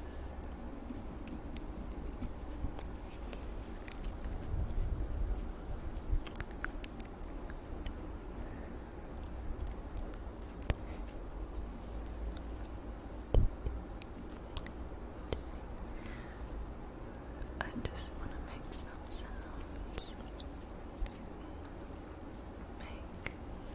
I just want to make some sounds. Make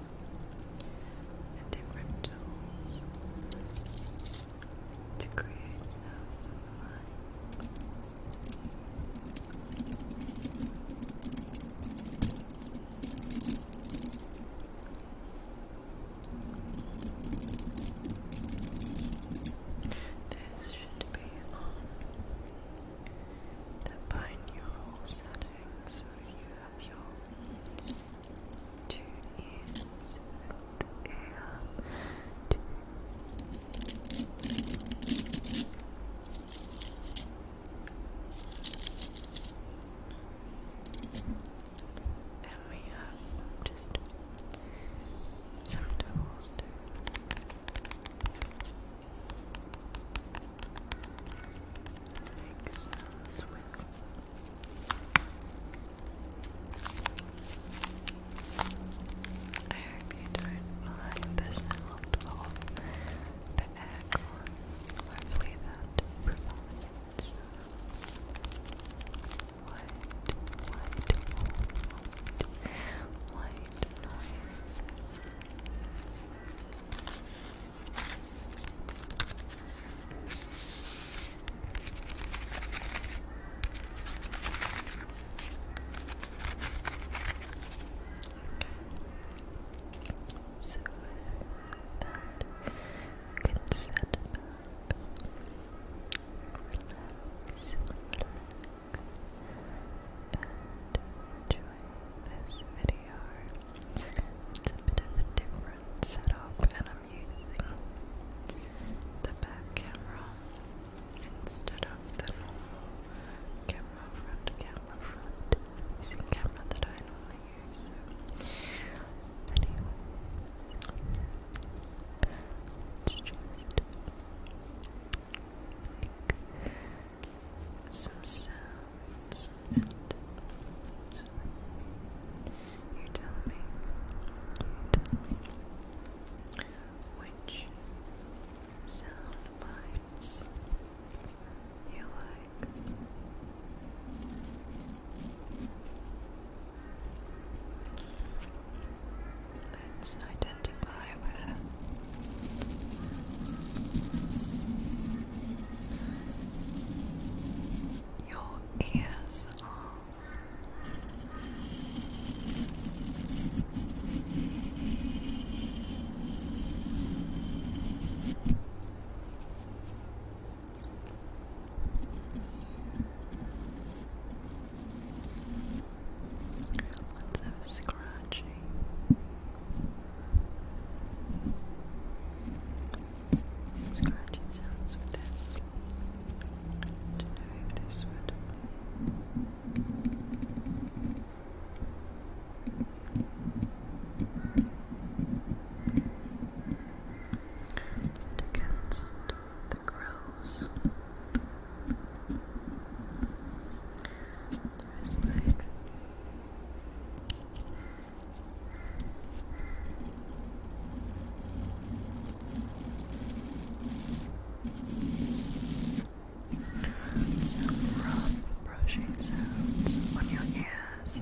tools different tools to create sounds of This should be on the binaural settings so if you have your two ears and two and we have just some tools make I hope you don't mind the sound of the aircon. Hopefully that provides white, white, white, white noise. So that you can set enjoy this video bit of a different setup, and I'm using the back camera instead of the normal camera, front camera, front using camera that I normally use. anyways, let just some sounds You tell me. which sound bites you like. Let's identify with your ears are lots of Scratching sounds with this. To know if this would. Just against the grills. There's like some rough brushing sounds on your ears.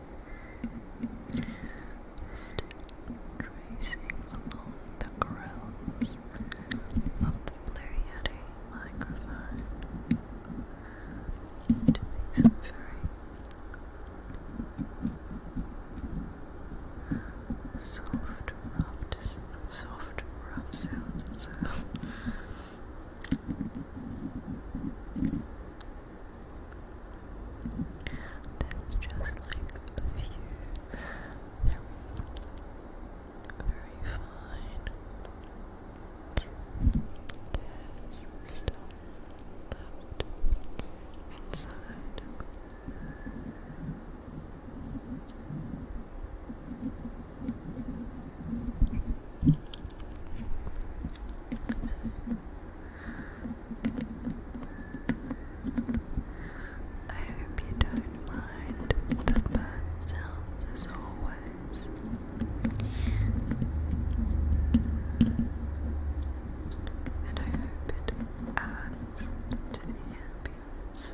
Still tracing along the grills of the Blue microphone to make some very soft, rough, soft, rough sounds That's just like a few. very fine. There's still left inside. I hope you don't mind the bird sounds as always. And I hope it adds to the ambience.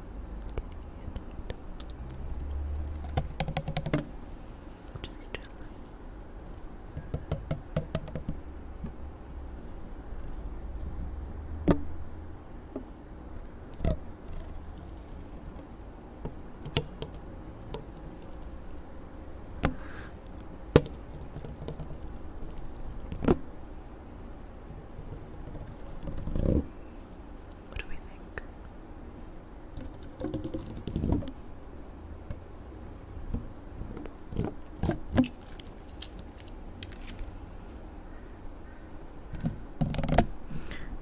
Just chill. Just what do we think? I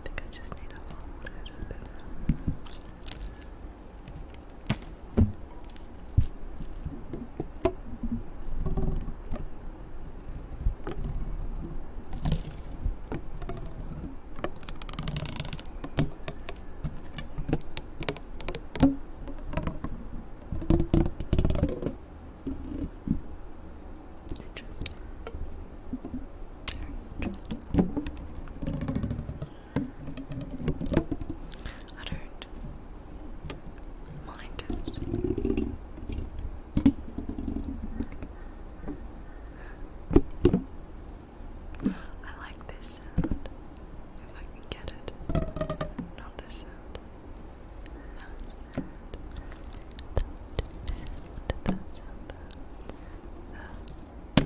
think I just need a little bit Interesting. Very interesting. Uttered I like this sound. If I can get it. Not this sound. That sound. That sound. That sound. The,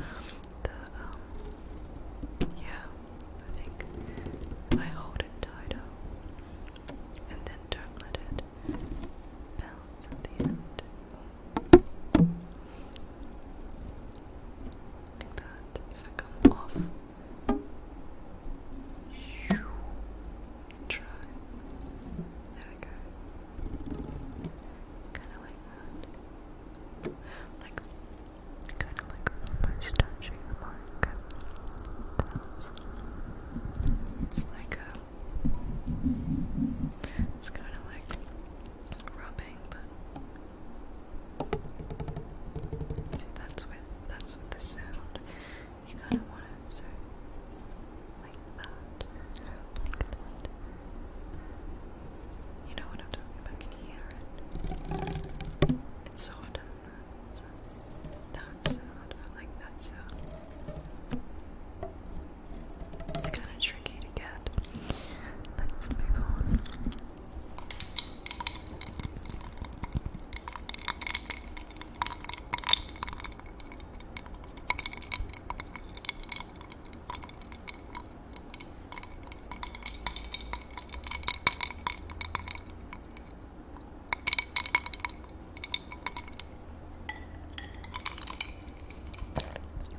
the, yeah, I think I hold it tighter, and then dark-leaded bells at the end. Like that. If I come off, try. There we go. Kind of like that. Like, kind of like almost touching the it's like a. It's kind of like rubbing, but that's with that's the sound. You kind of want it so like that, like that. You know what I'm talking about? Can you hear it? It's soft that's that sound. I like that sound. It's kind of tricky to get. Let's move on.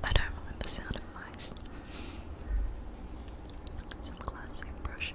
I don't mind the sound of mice. Some classic brushing.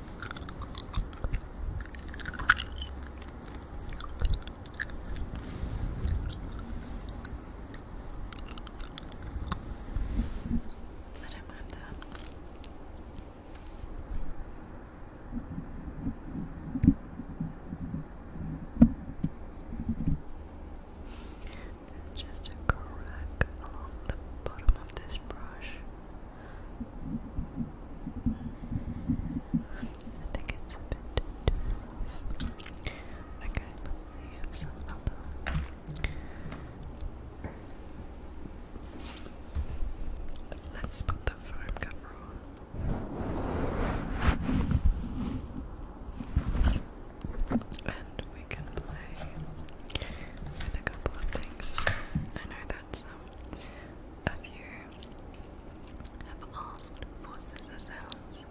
I don't mind that. just a crack along the bottom of this brush. I think it's a bit Okay, let's put the foam cover on. And we can play with a couple of things. I know that's um of you have asked for scissors sounds.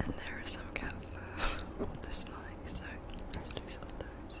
And there is some cat fur on this mic, so let's do some of those.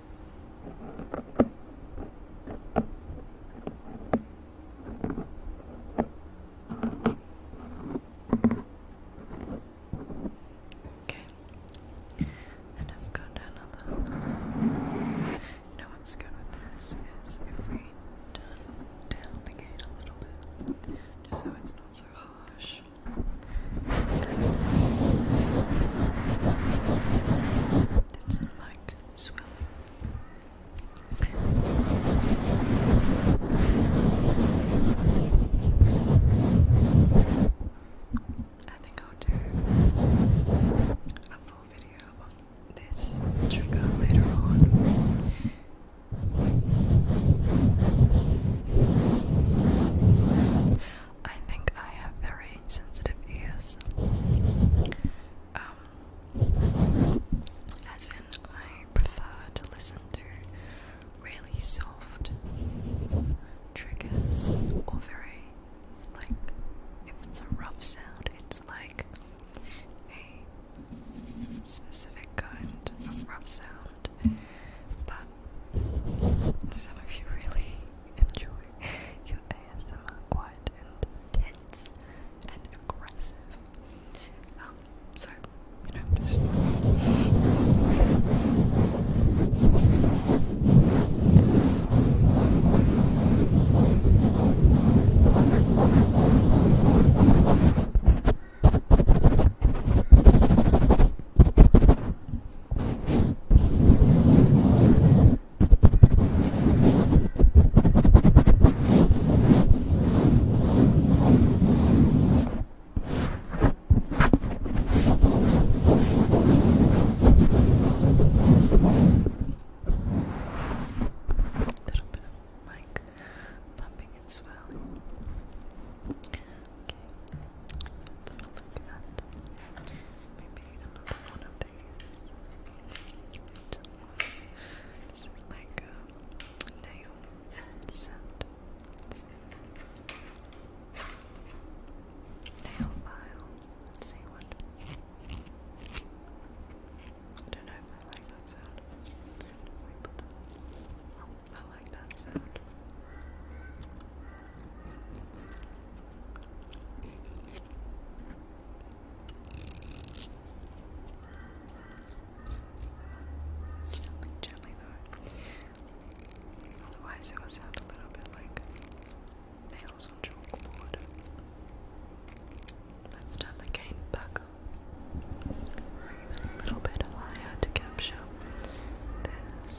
Okay. And I've got another. You what's good with this is if we turn down the gain a little bit, just so it's not so harsh like swell. I think I'll do a full video of this trigger later on. I think I have very sensitive ears. Um, as in, I prefer to listen to really soft triggers or very, like, if it's a rough sound, it's like a specific kind of rough sound. But some of you really enjoy your ASMR quiet and tense and aggressive. Um, so, you know, just little bit of like pumping and swelling. Okay, let's have a look at maybe another one of these. This is like a nail set. Nail file. Let's see what. don't know if I like that sound. I like that sound. Gently, gently though. Otherwise it will sound a little bit like nails on chalkboard. Let's start the cane back a little bit higher to capture this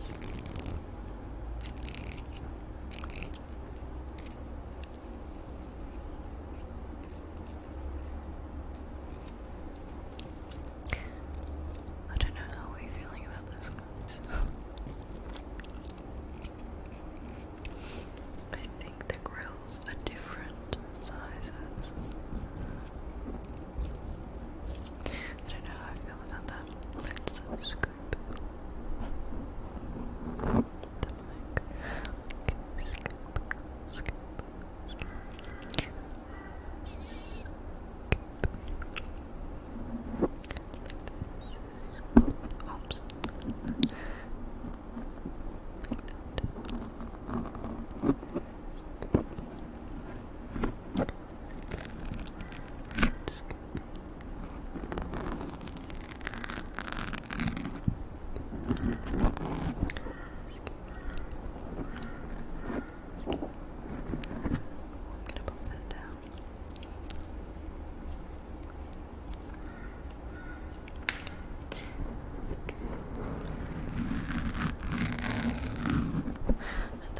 I don't know how we're feeling about those guys. I think the grills are different sizes. I don't know how I feel about that let's uh, scoop the mic. Okay, scoop, scoop, scoop. Scoop. Like Oops. Just I'm gonna pop that down. Okay.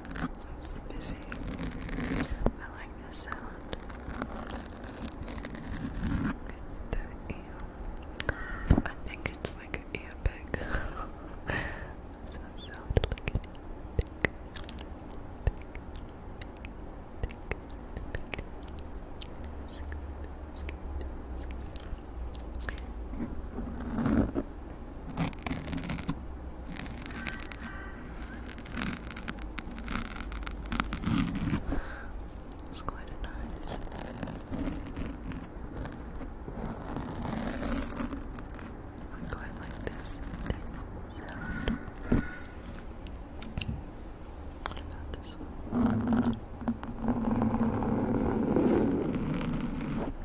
It's busy. I like this sound. The AM. I think it's like an ear pick. so that sound like an ear pick. Scoop, scoop, scoop. It's quite nice. I quite like this sound. What about this one?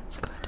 It's quite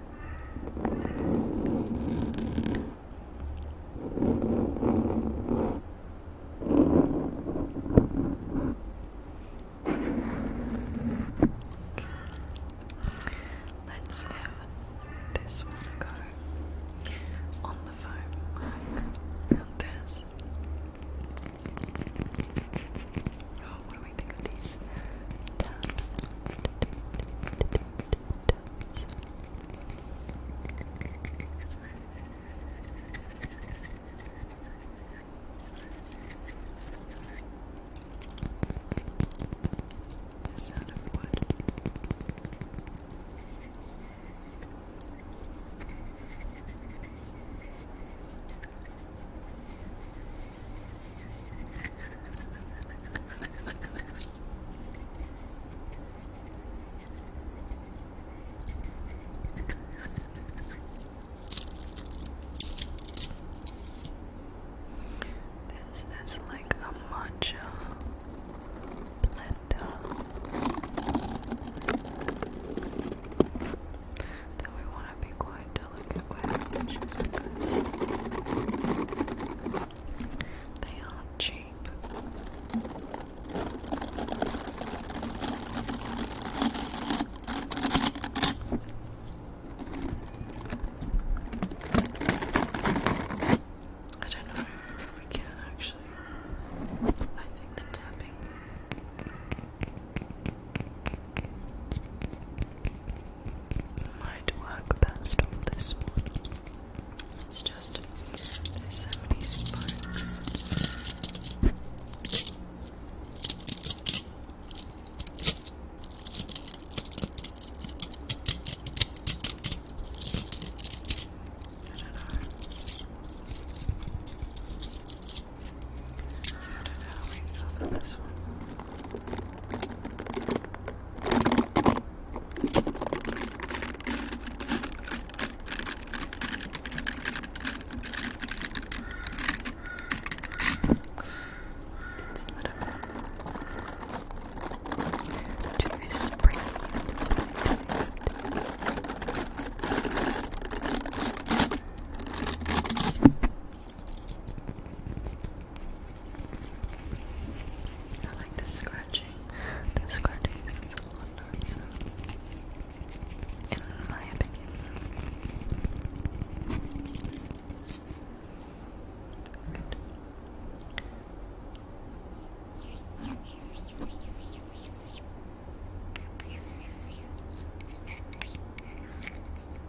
Let's give this one on the phone like this. Oh, do we think of these tabs? tabs. The sound of wood. Thank this is like a matcha blender. Then we want to be quite they aren't cheap. I don't know if we can actually. I think the tapping might work best on this one. It's just there's so many spikes. I don't know. I don't know how we cover this one. It's a little bit too spring. I like the scratching. The scratching is a lot nicer, in my opinion.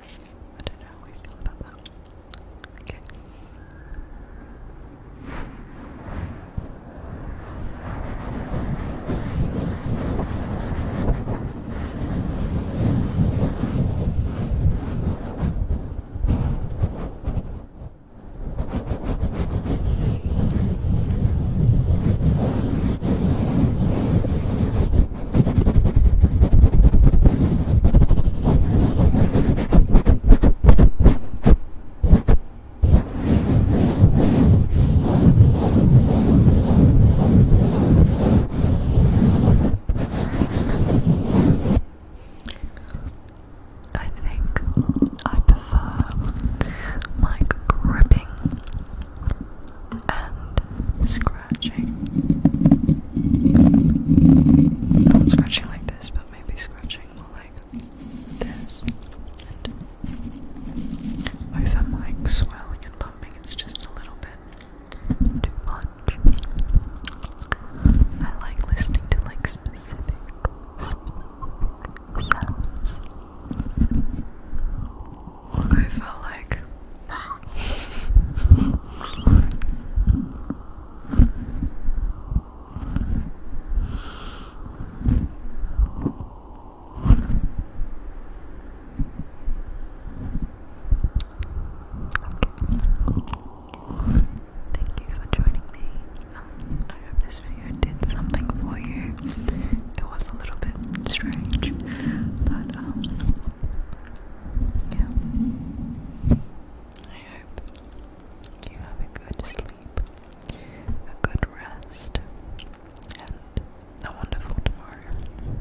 I don't know how we feel about that. Okay. I think I prefer like gripping and scratching. Not scratching like this, but maybe scratching more like this. And if I'm like swelling and pumping, it's just a little bit too much. I like listening to like specific, specific sounds. I Okay. Thank you for joining me. Um, I hope this video did something for you. It was a little bit strange, but um, yeah. I hope you have a good sleep, a good rest, and a wonderful tomorrow.